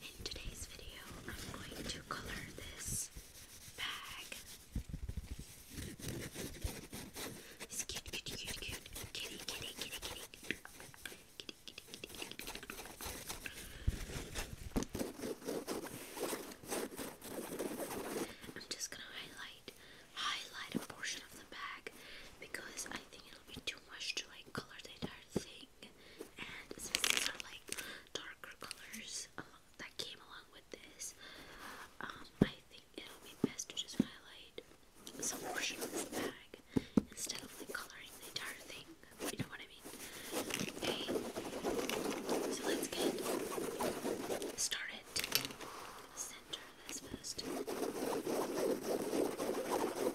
In today's video, I'm going to color this bag. I'm just gonna highlight, highlight a portion of the bag because I think it'll be too much to like color the entire thing and since like darker colors um, that came along with this, um, I think it'll be best to just highlight some portion of this bag instead of coloring the entire thing. You know what I mean? so let's get started. center this first.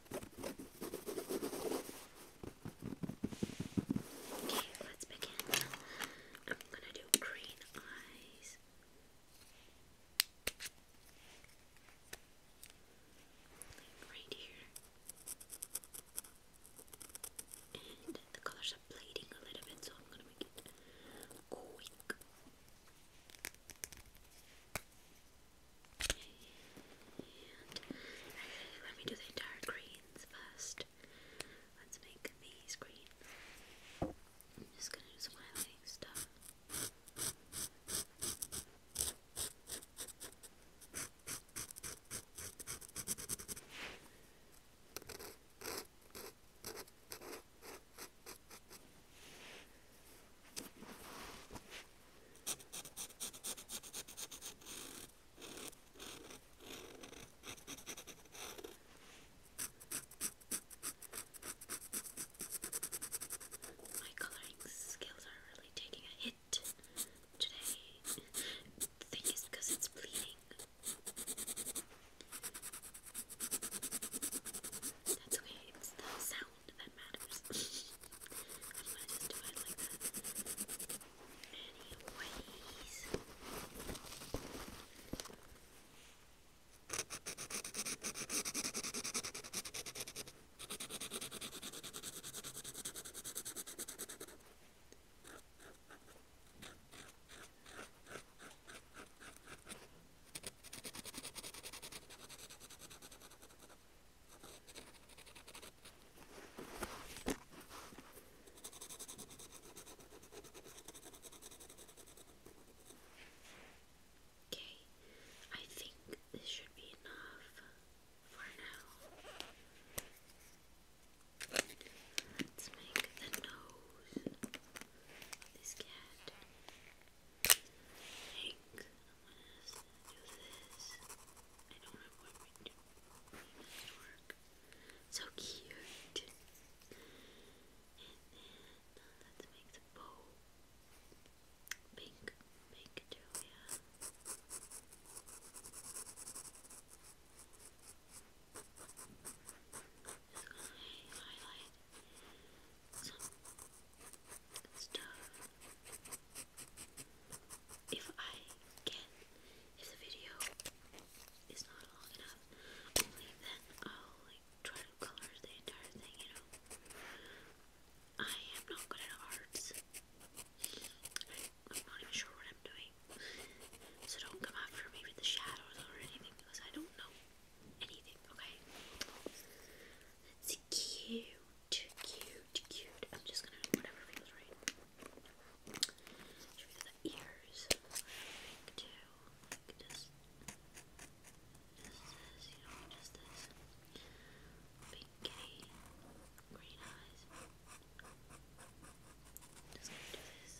Okay, let's begin. I'm gonna do green eyes. right here. And the colors are bleeding a little bit, so I'm gonna make it quick. And actually, let me do the entire greens first. Let's make these green. I'm just gonna do some highlighting stuff. My coloring skills are really taking a hit today. The thing is because it's bleeding. That's okay, it's the sound that matters. I want to do it like that. Anyways. Okay. Okay, I think this should be enough for now. Let's make the nose of this cat. I I'm gonna do I don't know what we work. So cute. And then let's make the bow pink, pink too highlight if I can, if the video is not long enough, then I'll like try to color the entire thing, you know. I am not good at arts. I'm not even sure what I'm doing. So don't come after me with the shadows or anything because I don't know anything, okay? It's cute, cute, cute. I'm just gonna do whatever feels right. Should we do the ears? Like too. just, just this, you know, just this. Pinky, green eyes. Just gonna do this.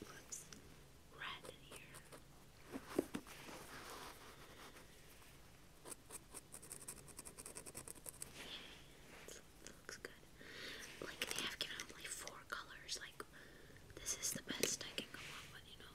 Let's Red in here. Okay. Looks good. Like they have given out four colors. Like this is the best I can come up with, you know.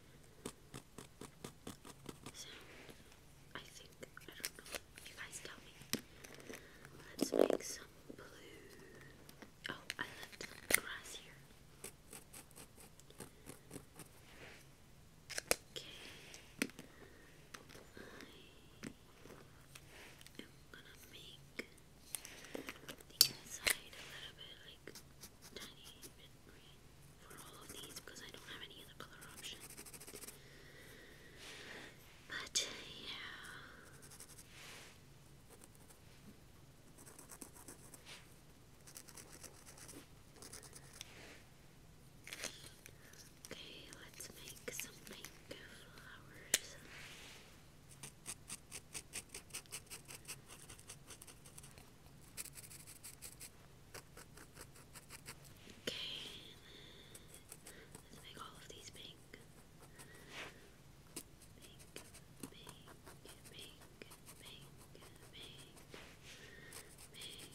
So, I think, I don't know, you guys tell me. Let's make some blue. Oh, I left grass here. Okay. I am gonna make the inside a little bit like tiny bit green for all of these because I don't have any other color option. But yeah. Okay, let's make some pink flowers. Okay, let's make all of these pink. Pink, pink, pink, pink, pink, pink, pink, pink.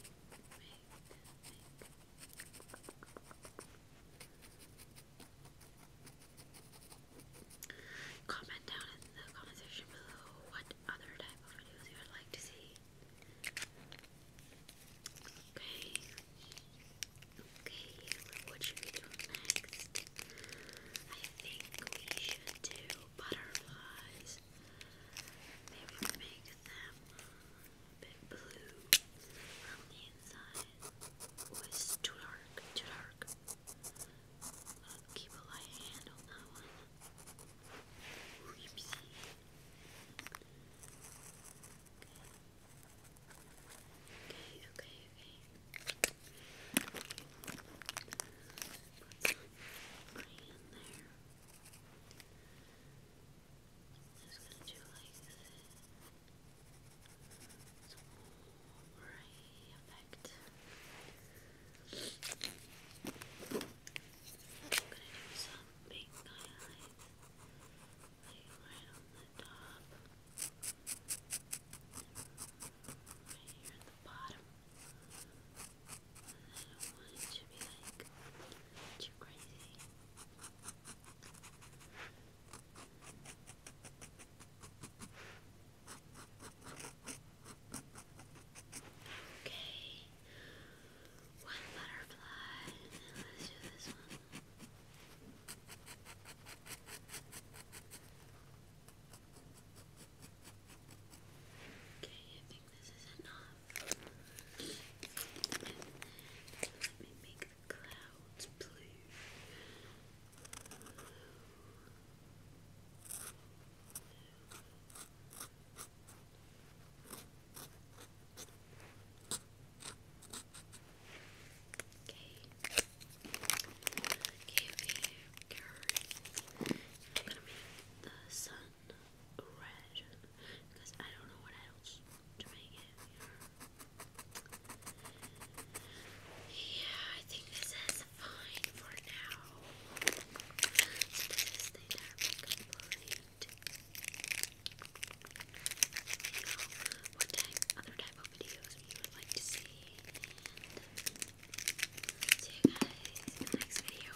Comment down in the comment below what other type of videos you would like to see. Okay. Okay, what should we do next? I think we should do butterflies. Maybe make them a blue inside was too dark, too dark. keep a light hand on that one. Oopsie. Okay, okay, okay. Put Okay just gonna do like this. It's a gray effect. I'm gonna do some pink highlights, like right on the top, right here at the bottom. And I don't want it to be like too crazy. Okay, one butterfly, let's do this one. Okay, I think this is enough. Let me make clouds blue, Okay. I'm gonna make the sun red because I don't know what else to you Yeah, I think this is fine for now. So this is the Arabic what type, other type of videos you would like to see. see you guys in the next video.